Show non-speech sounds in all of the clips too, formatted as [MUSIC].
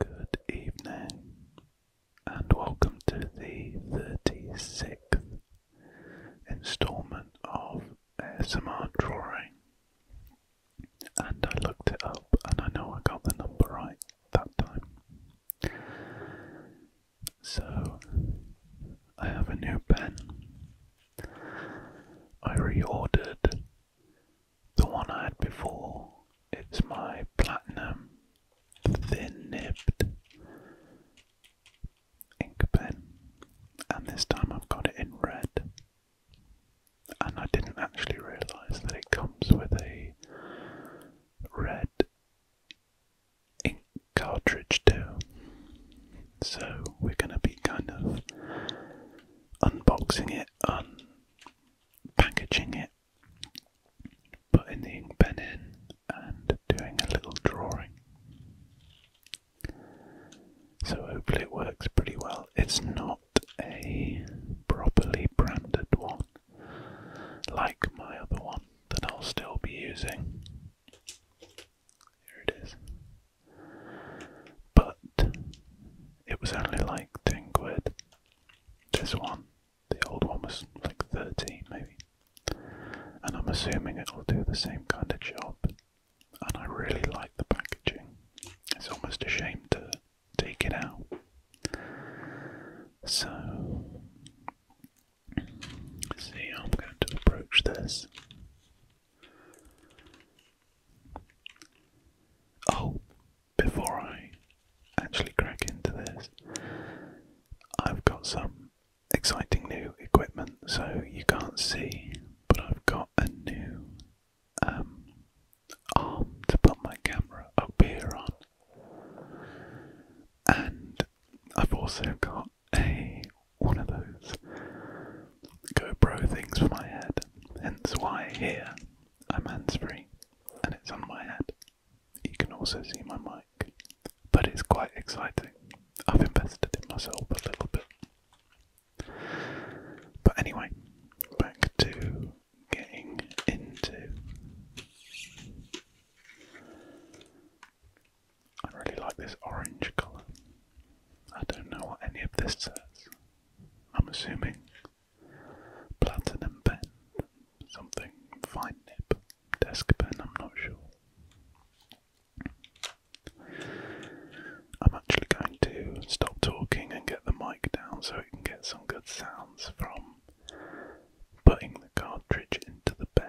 Good evening, and welcome to the 36th installment of ASMR Drawing. And I looked it up, and I know I got the number right that time. So, I have a new pen. I reordered the one I had before. It's my platinum thin nibbed ink pen, and this time I've got it in red. And I didn't actually realise that it comes with a red ink cartridge too. So we're going to be kind of unboxing it, packaging it, putting the ink pen in, and doing a little drawing. So hopefully it works pretty well. It's not a properly branded one like my other one that I'll still be using. Here it is. But it was only like 10 quid. This one, the old one was like 13 maybe. And I'm assuming it'll do the same kind of job. And I really like the packaging. It's almost a shame to take it out. So see how I'm going to approach this. Oh, before I actually crack into this, I've got some exciting new equipment. So you can't see, but I've got a new um, arm to put my camera up here on. And I've also got a one of those GoPro things for my head, hence why here I'm hands free and it's on my head. You can also see my mic, but it's quite exciting. I've invested in myself a little bit. But anyway, back to getting into. I really like this orange colour. I don't know what any of this says. I'm assuming platinum pen, something fine nib, desk pen, I'm not sure. I'm actually going to stop talking and get the mic down so we can get some good sounds from putting the cartridge into the pen.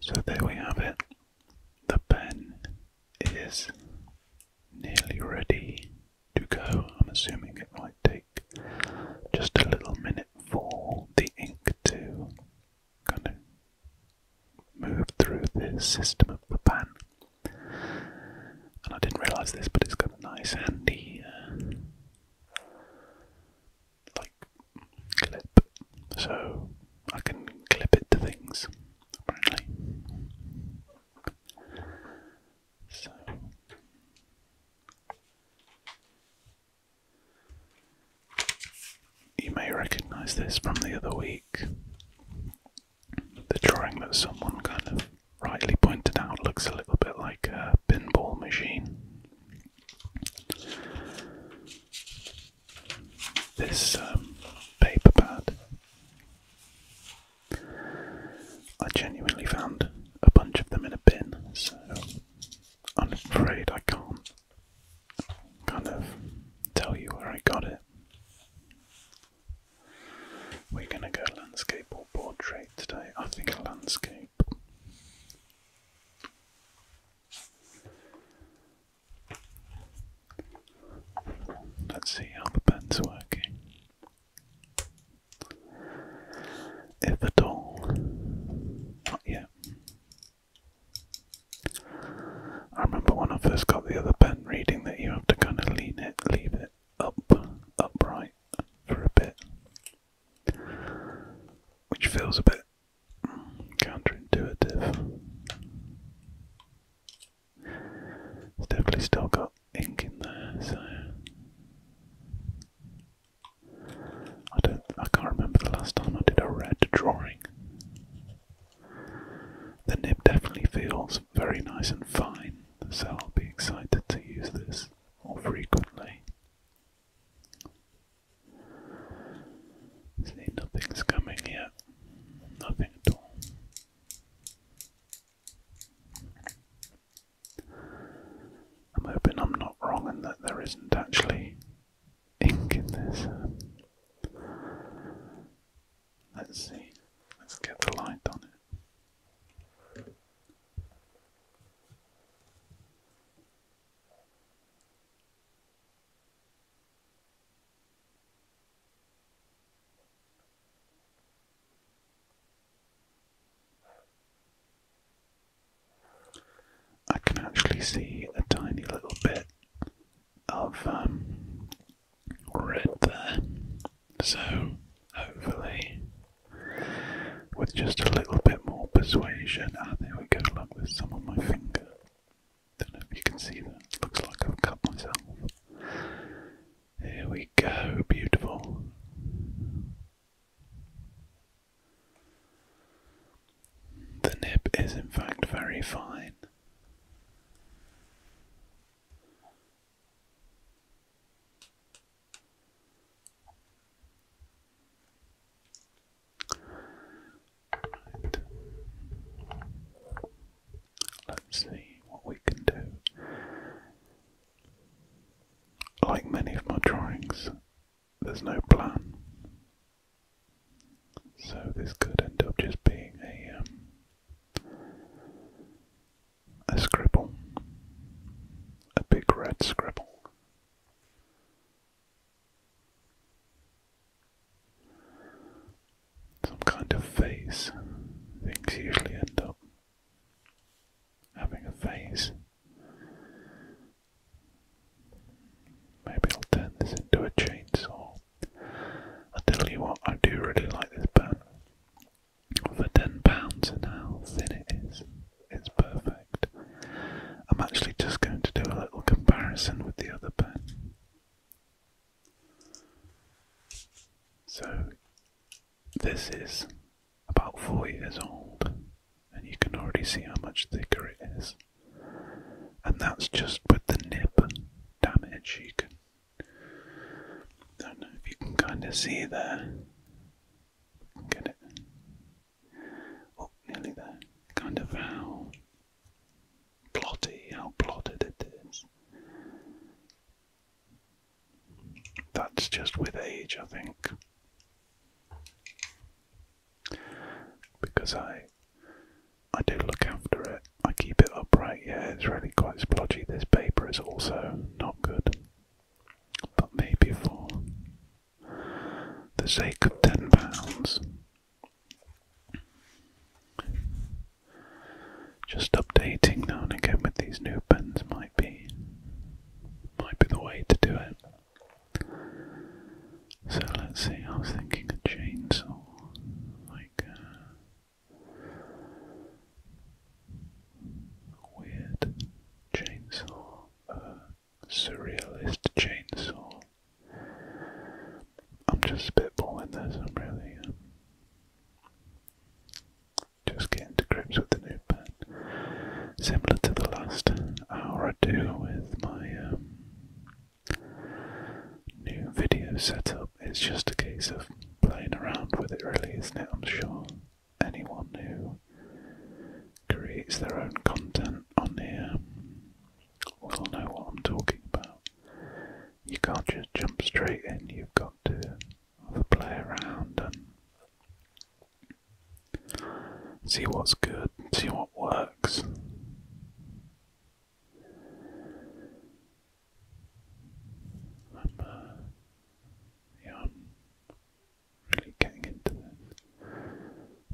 So there we have it. The pen is nearly ready to go. I'm assuming it might take just a little minute for the ink to kind of move through the system of the pan. And I didn't realise this, but it's got a nice handy uh, like clip, so I can clip it to things. Apparently, so you may recognize this from the other week. The drawing that someone kind of rightly pointed out looks a little bit like a pinball machine. This um, paper pad, I genuinely found a bunch of them in a bin, so I'm afraid I can't kind of tell you where I got it. We're gonna go landscape or portrait today. I think landscape. Let's see how the pen's working. If at all. Not I remember when I first got the other pen reading that you have to kind of lean it, leave it up, upright for a bit, which feels a bit counterintuitive. It's definitely still got ink in there, so I don't. I can't remember the last time I did a red drawing. The nib definitely feels very nice and fine, so I'll be excited to use this more frequently. See, nothing's coming yet. Nothing at all. I'm hoping I'm not wrong and that there isn't actually ink in this. Let's see. Let's get the light on it. I can actually see a tiny little bit um, I've red there. So hopefully, with just a little bit more persuasion, ah, there we go. Look, there's some of my finger. Don't know if you can see that. Looks like I've cut myself. Here we go, beautiful. The nib is in fact very fine. Let's see what we can do. Like many of my drawings, there's no plan. So this could end up just being a um, a scribble, a big red scribble. Some kind of face. Things usually end up having a face. Maybe I'll turn this into a chainsaw. I tell you what, I do really like this pen. For ten pounds and how thin it is, it's perfect. I'm actually just going to do a little comparison with the other pen. So this is about four years old, and you can already see how much thicker it is and that's just with the nib damage. You can, I don't know if you can kind of see there. Get it? Oh, nearly there. Kind of how plotty, how plotted it is. That's just with age, I think because I I do look after it. I keep it upright. Yeah, it's really quite splodgy. This paper is also not good. But maybe for the sake of ten pounds, just updating now and again with these new pens might be might be the way to do it. So let's see, I was thinking a chainsaw, like uh, weird chainsaw, a uh, surrealist chainsaw. I'm just spitballing this, I'm really um, just getting to grips with the new pen. Similar to the last hour or two with my um, new video setup. It's just a case of playing around with it, really, isn't it? I'm sure anyone who creates their own content on here will know what I'm talking about. You can't just jump straight in, you've got to play around and see what's good, see what works. I'm, yeah, I'm really getting into this.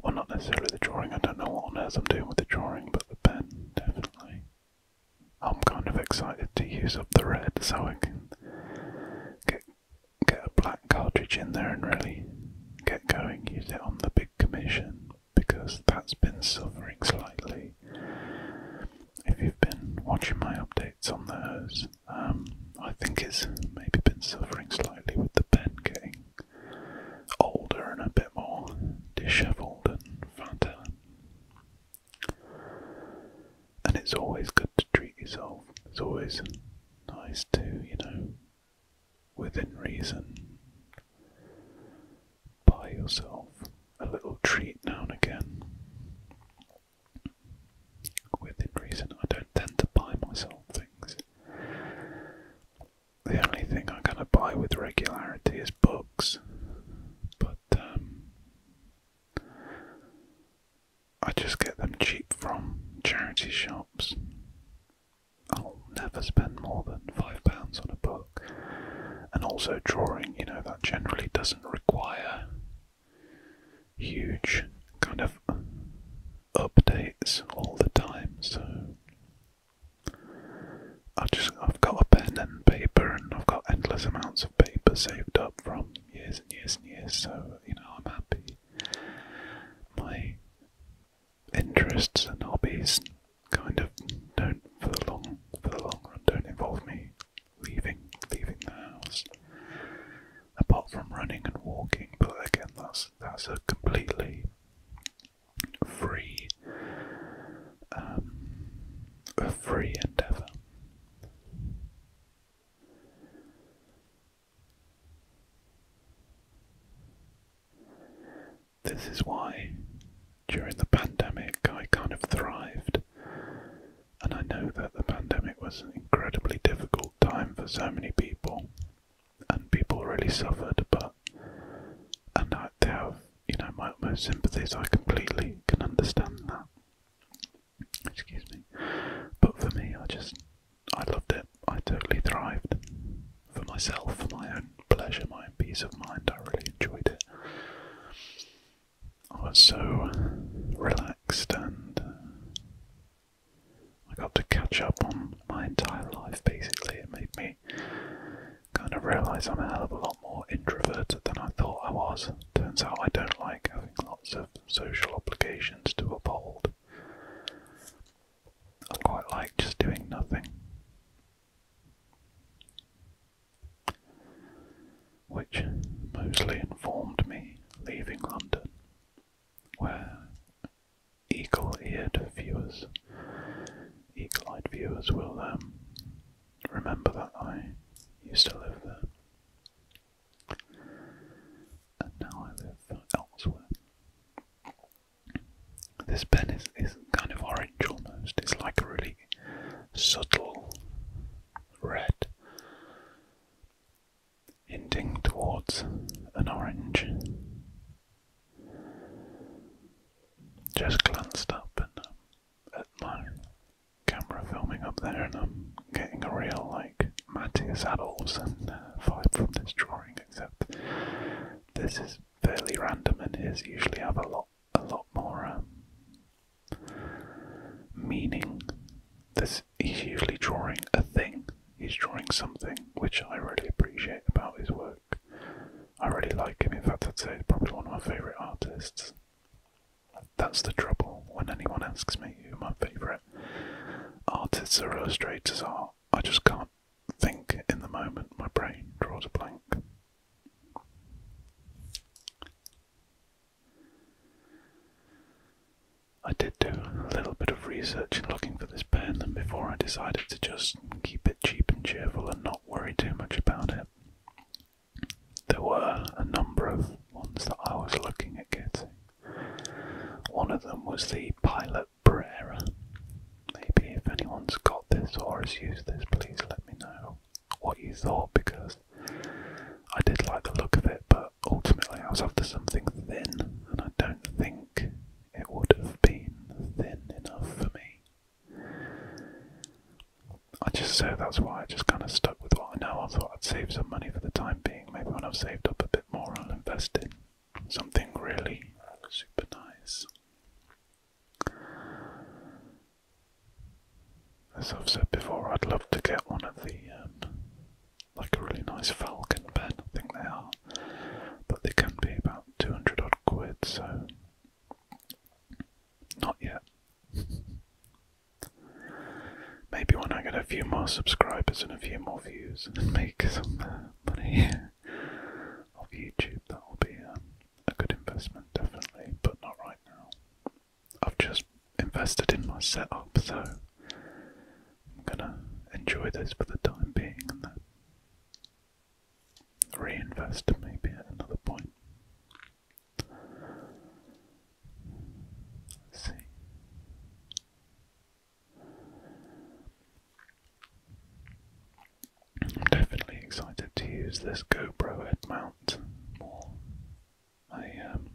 Well, not necessarily the drawing, I don't know what on earth I'm doing with the drawing, but the pen, definitely. I'm kind of excited to use up the red so I can get, get a black cartridge in there and really get going, use it on the big Commission because that's been suffering slightly. If you've been watching my updates on those, um, I think it's maybe been suffering slightly with the pen getting older and a bit more dishevelled and fatter. And it's always good to treat yourself. It's always nice to, you know, within reason. Buy yourself a little treat now and again. Within reason, I don't tend to buy myself things. The only thing I am going to buy with regularity is books, but um, I just get them cheap from charity shops. I'll never spend more than five pounds on a book. And also drawing, you know, that generally doesn't require huge kind of updates all the time. So I just I've got a pen and paper, and I've got endless amounts of paper saved up from years and years and years. So you know, I'm happy. My interests and hobbies kind of don't for the long for the long run don't involve me leaving leaving the house. Apart from running and walking, but again that's that's a completely free um, a free endeavour. This is why during the pandemic I kind of thrived. And I know that the pandemic was an incredibly difficult time for so many people, and people really suffered. But and I have, you know, my utmost sympathies. I completely can understand that. Excuse me. But for me, I just I loved it. I totally thrived. For myself, for my own pleasure, my own peace of mind, I really enjoyed it. I was so relaxed and uh, I got to catch up on my entire life basically. It made me kind of realise I'm a hell of a lot more introverted than I thought I was. Turns out I don't like having lots of social obligations to uphold. I quite like just doing nothing. Which mostly informed me leaving London, where eagle eared viewers, eagle eyed viewers will um, remember that I used to live there. And now I live elsewhere. This pen is, is kind of orange almost. It's like a really subtle red hinting towards an orange. Just glanced up and um, at my camera filming up there, and I'm getting a real like Matthias Adolfs and uh, vibe from this drawing, except this is fairly random and his usually have a lot a lot more um, meaning. This he's usually drawing a thing. He's drawing something which I really appreciate about his work. I really like him. In fact, I'd say he's probably one of my favourite artists. That's the trouble when anyone asks me who my favourite artists or illustrators are. I just can't think in the moment, my brain draws a blank. I did do a little bit of research in looking for this pen, and before I decided to just keep it cheap and cheerful and not worry too much about it, there were a number of ones that I was looking at getting. One of them was the Pilot Cabrera. Maybe if anyone's got this or has used this, please let me know what you thought because I did like the look of it, but ultimately I was after something thin, and I don't think it would have been thin enough for me. I just so that's why I just kind of stuck with what I know. I thought I'd save some money for the time being. Maybe when I've saved up a bit more, I'll invest in something really super nice. As I've said before, I'd love to get one of the um, like a really nice Falcon pen. I think they are, but they can be about two hundred odd quid. So not yet. Maybe when I get a few more subscribers and a few more views [LAUGHS] and make some money of YouTube, that will be um, a good investment, definitely, but not right now. I've just invested in my setup, so I'm gonna enjoy this for the time being and then reinvest maybe at another point. see. I'm definitely excited to use this GoPro head mount I um,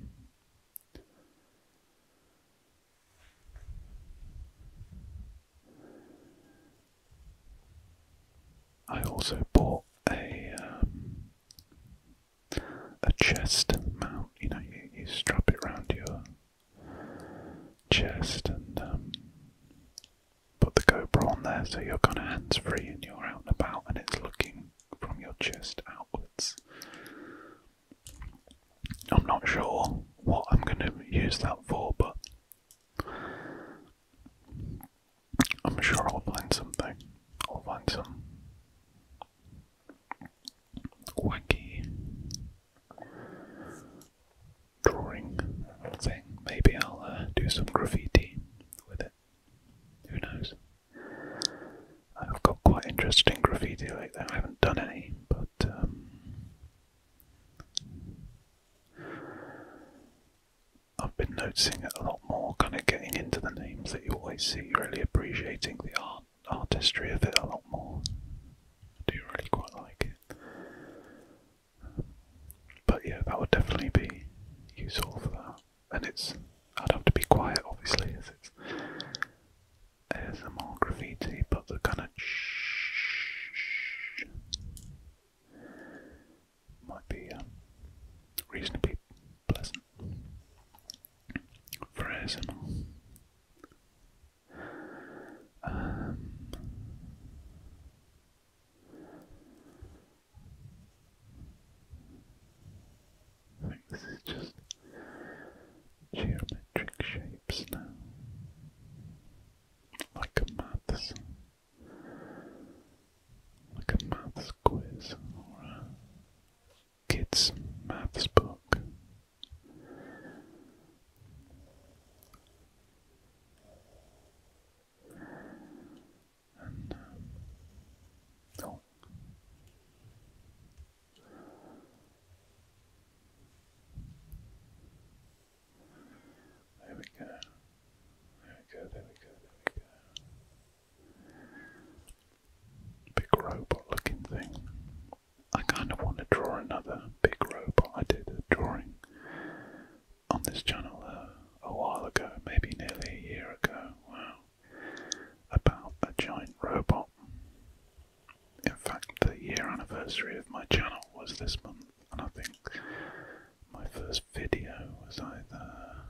I also bought a um, a chest mount. You know, you, you strap it round your chest and um, put the GoPro on there so you're kind of hands free and you're out and about and it's looking from your chest outwards. I'm not sure what I'm going to use that for, but I'm sure I'll find something. I'll find some wacky drawing thing. Maybe I'll uh, do some graffiti with it. Who knows? I've got quite interesting graffiti like I haven't done any, but um, I've been noticing it a lot more, kind of getting into the names that you always see, really appreciating the art artistry of it a lot more. do really quite like it. but yeah, that would definitely be useful for that. And it's, I'd have to be quiet obviously as it's ASMR graffiti, but the kind of might be um, reasonably pleasant for um, I think this is just geometric shapes now, like a maths, like a maths quiz or a kids' maths book. And, um, There we go. There we go, there we go, there we go. Big robot looking thing. I kind of want to draw another big robot. I did a drawing on this channel uh, a while ago, maybe nearly a year ago. about a giant robot. In fact, the year anniversary of my channel was this month, and I think my first video was either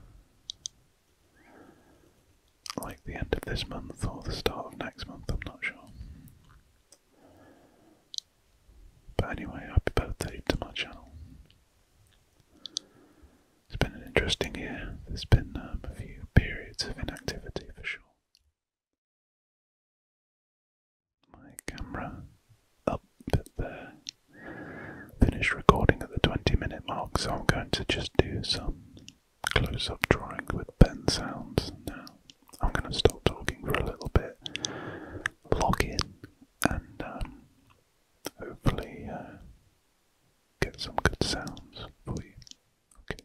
like the end of this month or the start of next month, I'm not sure. But anyway, happy birthday to my channel. It's been an interesting year. There's been um, a few periods of inactivity for sure. My camera up there. Finished recording at the 20 minute mark, so I'm going to just do some close up drawing with pen sounds. Now, I'm going to stop talking for a little bit, log in, and um, hopefully uh, get some good sounds for you. Okay.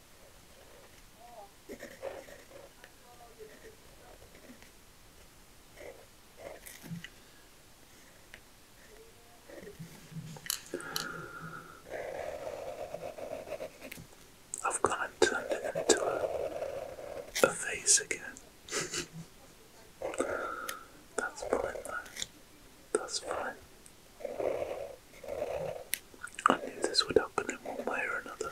I've gone and turned it into a face again. [LAUGHS] That's fine though. That's fine. I knew this would happen in one way or another.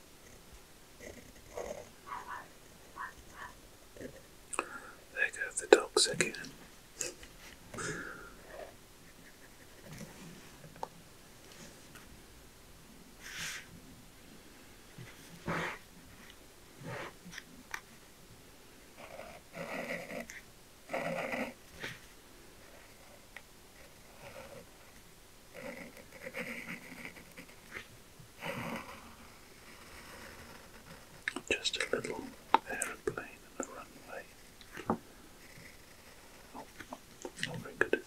There go the dogs again. Just a little aeroplane and the runway. Oh, not very good, is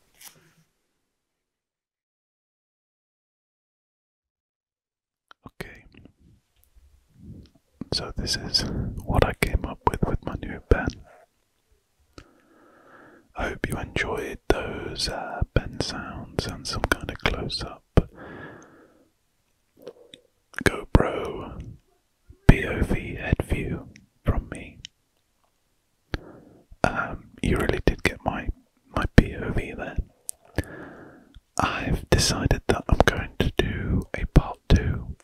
Okay, so this is what I came up with with my new pen. I hope you enjoyed those uh, pen sounds and some kind of close up. GoPro POV head view from me. Um, you really did get my my POV there. I've decided that I'm going to do a part two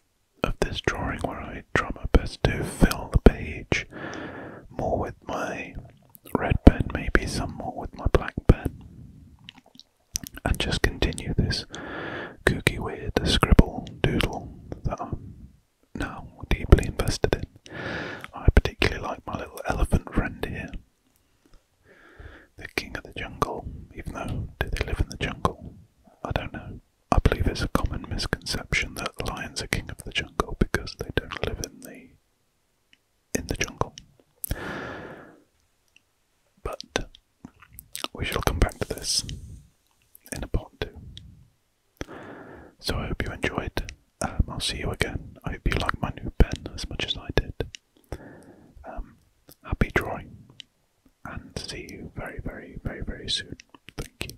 of this drawing where I try my best to fill the page more with my red pen, maybe some more with my black pen, and just continue this kooky weird scribble doodle that now deeply invested in. I particularly like my little elephant friend here, the king of the jungle, even though do they live in the jungle? I don't know. I believe it's a common misconception that lions are king of the jungle because they don't live in the in the jungle. But we shall come back to this in a part two. So I hope you enjoyed. Um, I'll see you again. I hope you like my new pen as much as I did. Um, happy drawing, and see you very, very, very, very soon. Thank you.